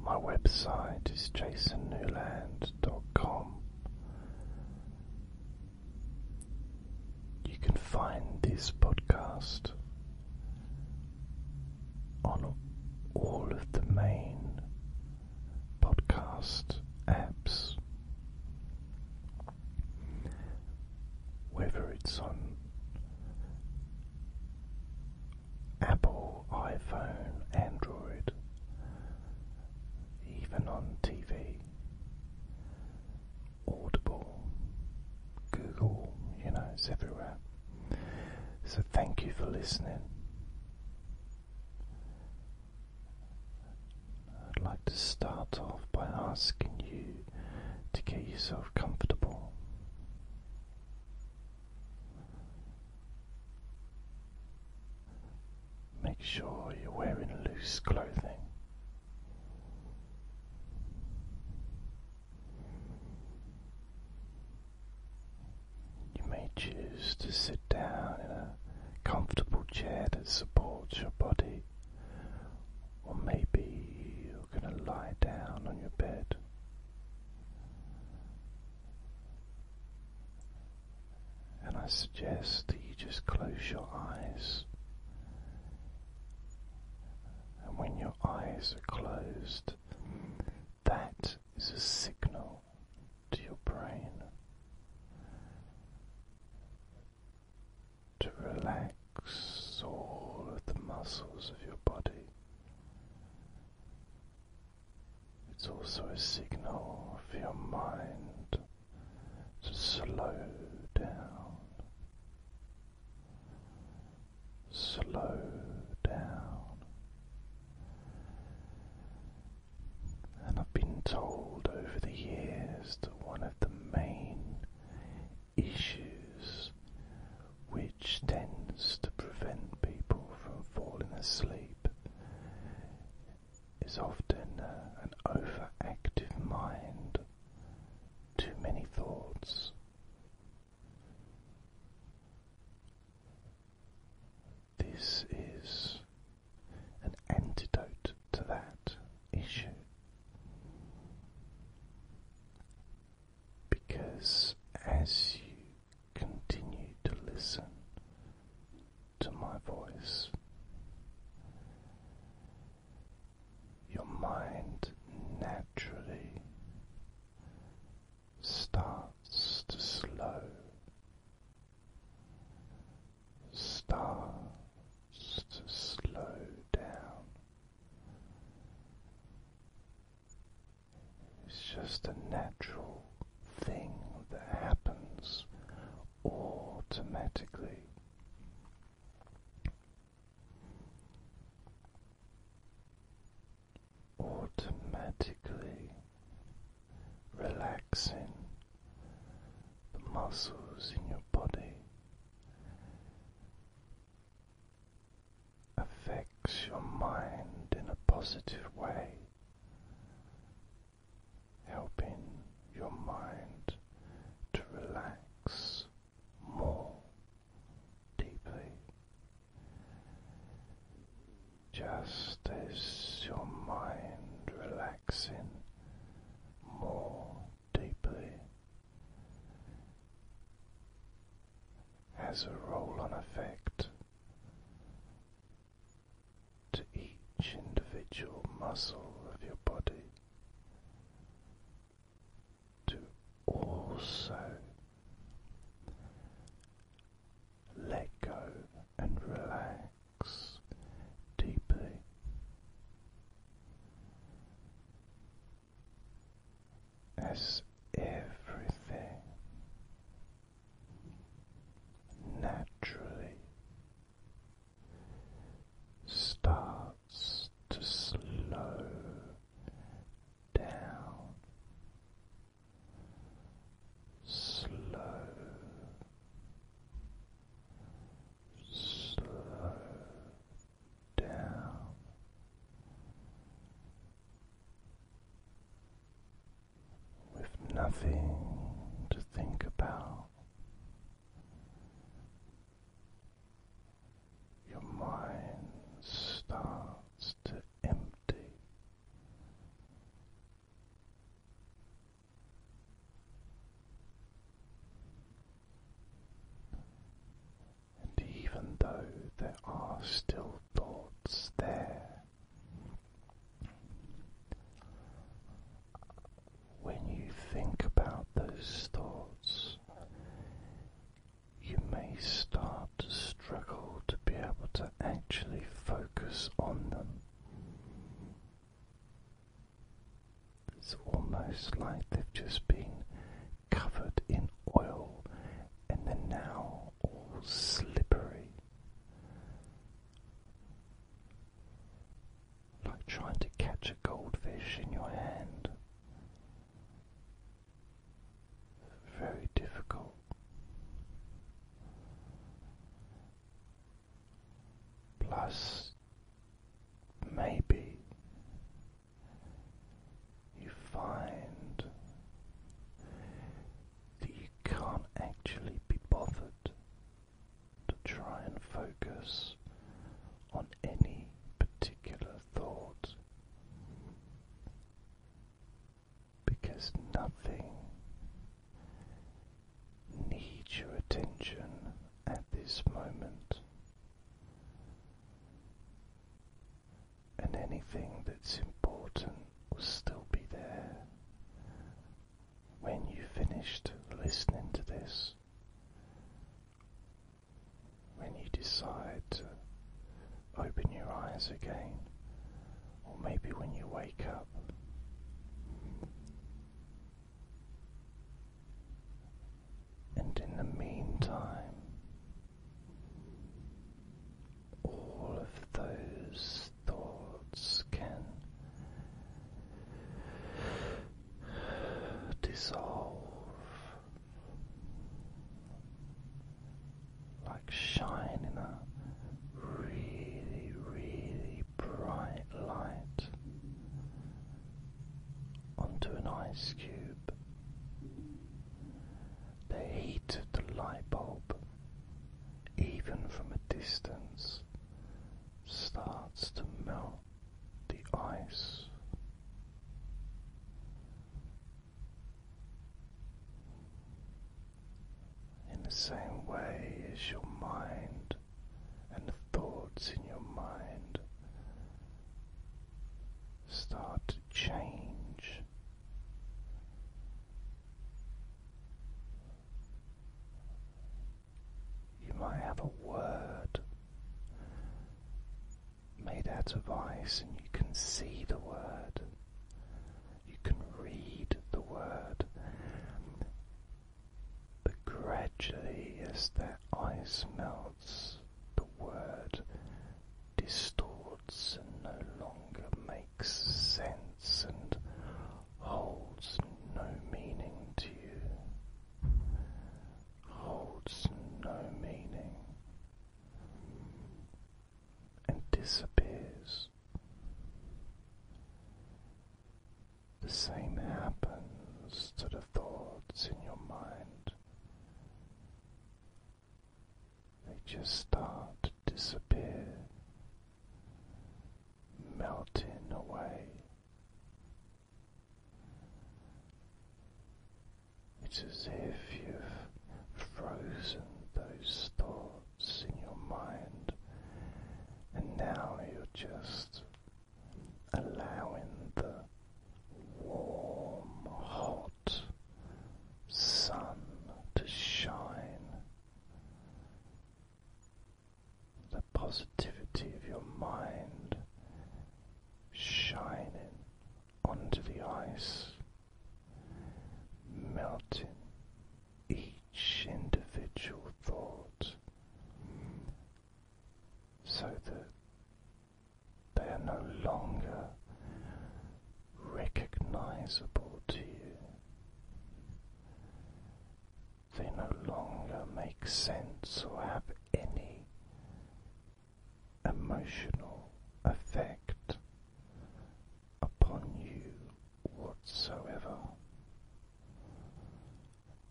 My website is jasonnewland.com. You can find this podcast on all of the main podcast apps, whether it's on Apple, iPhone, Android, even on TV, Audible, Google, you know, it's everywhere. So thank you for listening. I'd like to start off by asking you to get yourself comfortable. Make sure you're wearing loose clothing. You may choose to sit down in a comfortable chair that supports your body, or maybe you're going to lie down on your bed. And I suggest that you just close your eyes. And when your eyes are closed, that is a signal to your brain to relax all of the muscles of your body. It's also a signal for your mind to slow down, slow down. And I've been told over the years that one of the main issues which tends to prevent people from falling asleep is often uh, an overactive mind, too many thoughts. This is an antidote to that issue. Because as you continue to listen to my voice. Your mind naturally starts to slow, starts to slow down. It's just a natural thing that happens automatically. Automatically relaxing the muscles in your body affects your mind in a positive way helping your mind to relax more deeply. Just as your mind relaxing more deeply has a role on effect to each individual muscle of your body to also let go and relax deeply. As everything naturally starts to slow down, slow, slow down with nothing to think about. Your mind starts to empty. And even though there are still thoughts there, when you think about those thoughts, you may start to struggle to be able to actually focus on them. It's almost like they've just been covered in oil and they're now all slippery. Like trying to catch a goldfish in your hand. Very difficult. Plus, maybe you find that you can't actually be bothered to try and focus on any particular thought because nothing needs your attention at this moment and anything that's important will still be there when you've finished listening to this. When you decide to open your eyes again, or maybe when you wake up, and in the meantime, all of those thoughts can dissolve like shine in a really, really bright light onto an ice cube. The heat of the light bulb even from a distance, starts to melt the ice. In the same way as your mind and the thoughts in your mind start to change you might have a word made out of ice, and you can see the word, you can read the word. But gradually, as the ice melts, the word distorts and no longer makes sense and holds no meaning to you, holds no meaning, and disappears. The same happens to the thoughts in your mind they just start to disappear, melting away. It's as if you've frozen those thoughts in your mind, and now you're just allowing the warm, hot sun to shine the positivity of your mind shining onto the ice, melting each individual thought so that they are no longer recognizable to you. They no longer make sense or have any emotional effect upon you whatsoever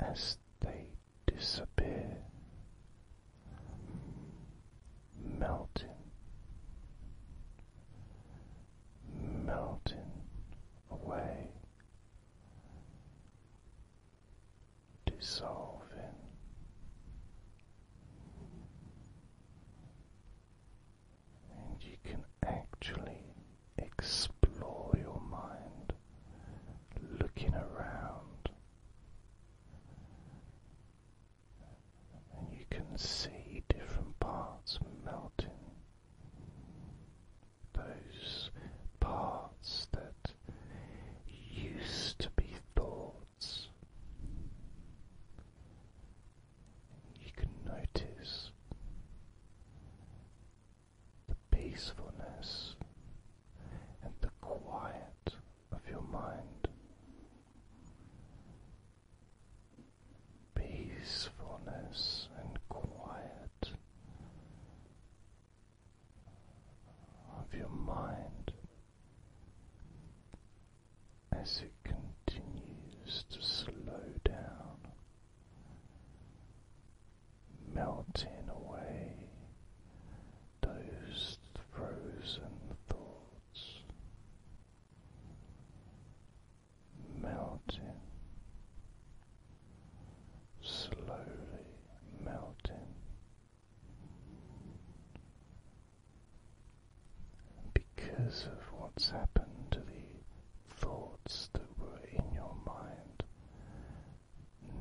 as they disappear, melting melting away, dissolving. And you can actually explore your mind looking around and you can see different parts melting. Those parts that used to be thoughts. You can notice the peacefulness and the quiet of your mind peacefulness and quiet of your mind as it continues to slow down, melting away those frozen thoughts melting, slowly melting, because of what's happened to the thoughts that were in your mind.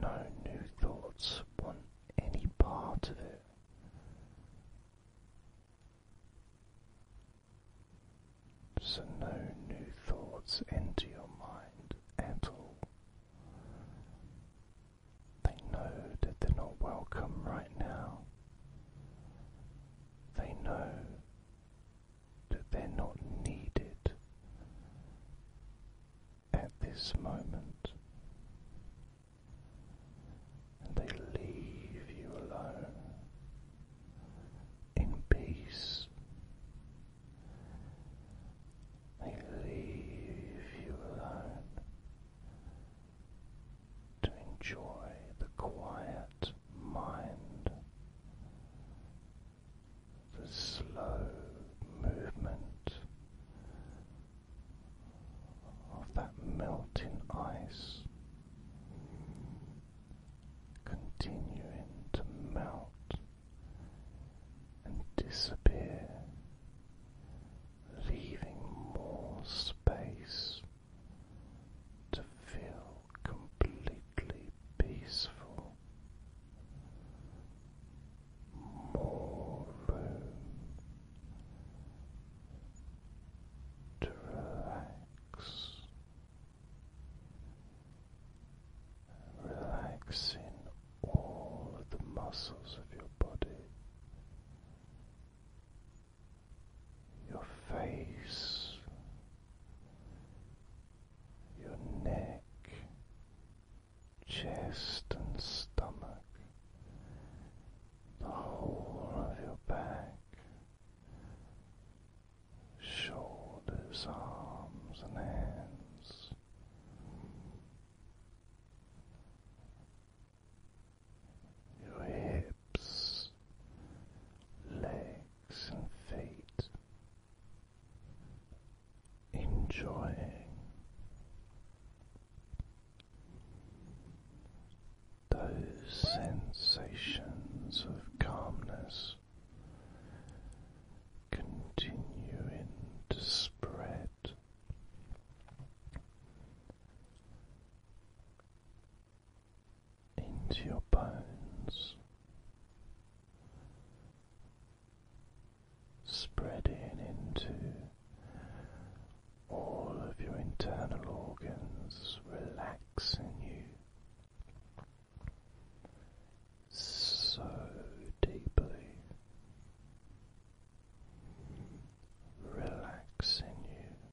No new thoughts want any part of it. So no new thoughts enter your mind at all. They know that they're not welcome right now. They know that they're not needed at this moment and they leave you alone in peace. They leave you alone to enjoy the quiet mind, the slow movement of that melting ice continuing to melt and disappear, leaving more space to feel completely peaceful. More room to relax relaxing all of the muscles of your body, your face, your neck, chest, and stomach, the whole of your back shoulders, arms, and hands. Your hips, legs, and feet, enjoying those sensations of calmness continue to spread. Into your bones, spreading into all of your internal organs, Relax relaxing you so deeply, relaxing you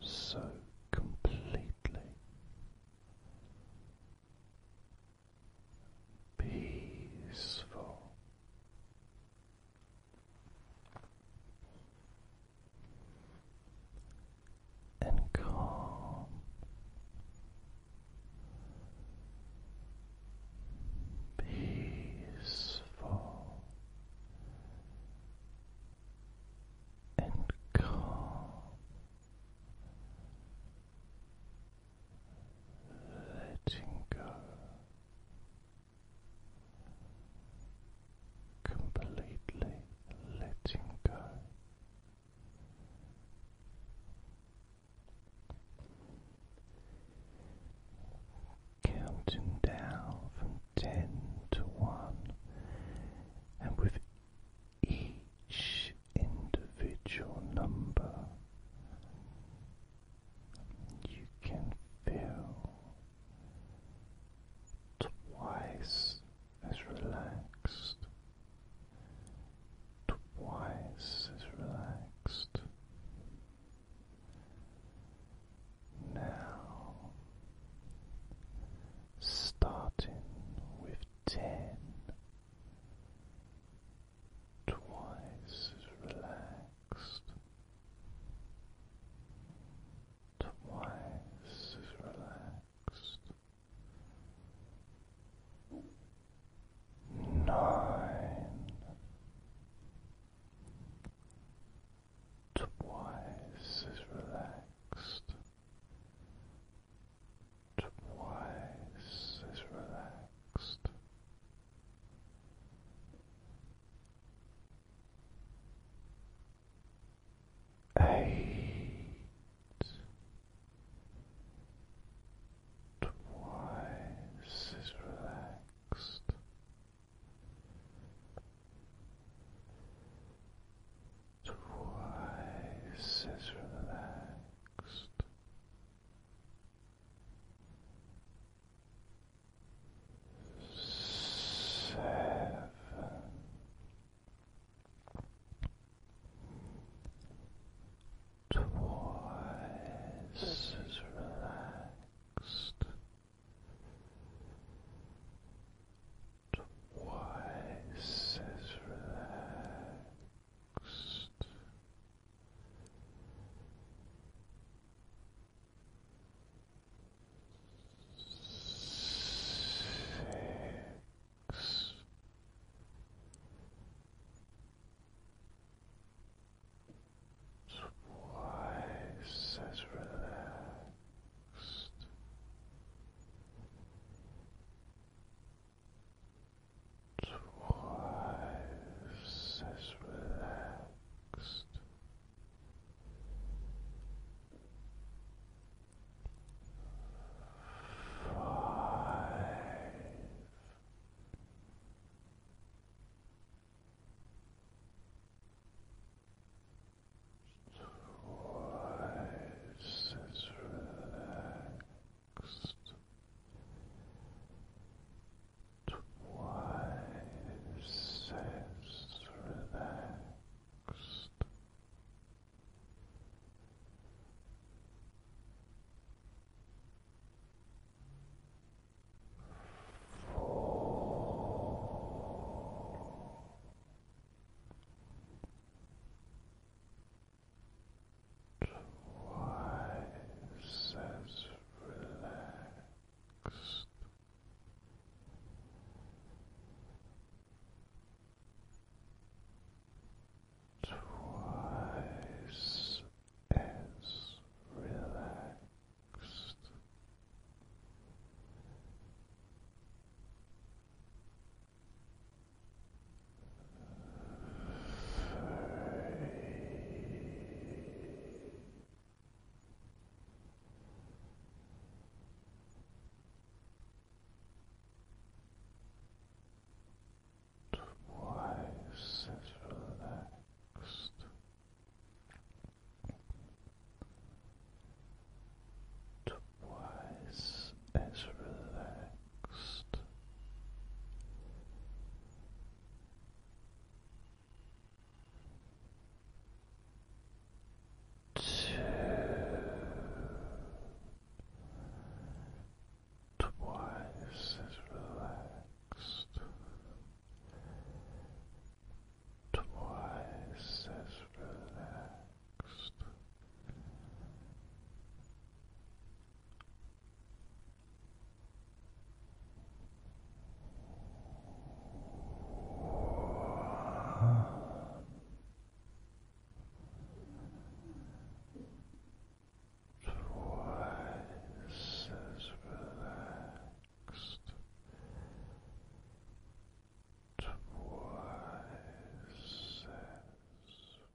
so completely. Peaceful, and calm. Peaceful and calm. Letting go completely letting go. Counting down from ten to one, and with each individual number, you can feel twice as relaxed, twice as relaxed. Now, starting with ten, twice as relaxed. Twice is relaxed. Nine. Twice is relaxed. Twice is relaxed eight, twice as relaxed. Twice as relaxed seven, twice as relaxed, twice as relaxed six. Twice as relaxed. Twice as relaxed. Twice as relaxed twice as relaxed. Four. Twice as relaxed twice as relaxed. Free. Twice as relaxed. Twice as relaxed two, twice as relaxed, twice as relaxed. Twice relaxed, twice relaxed.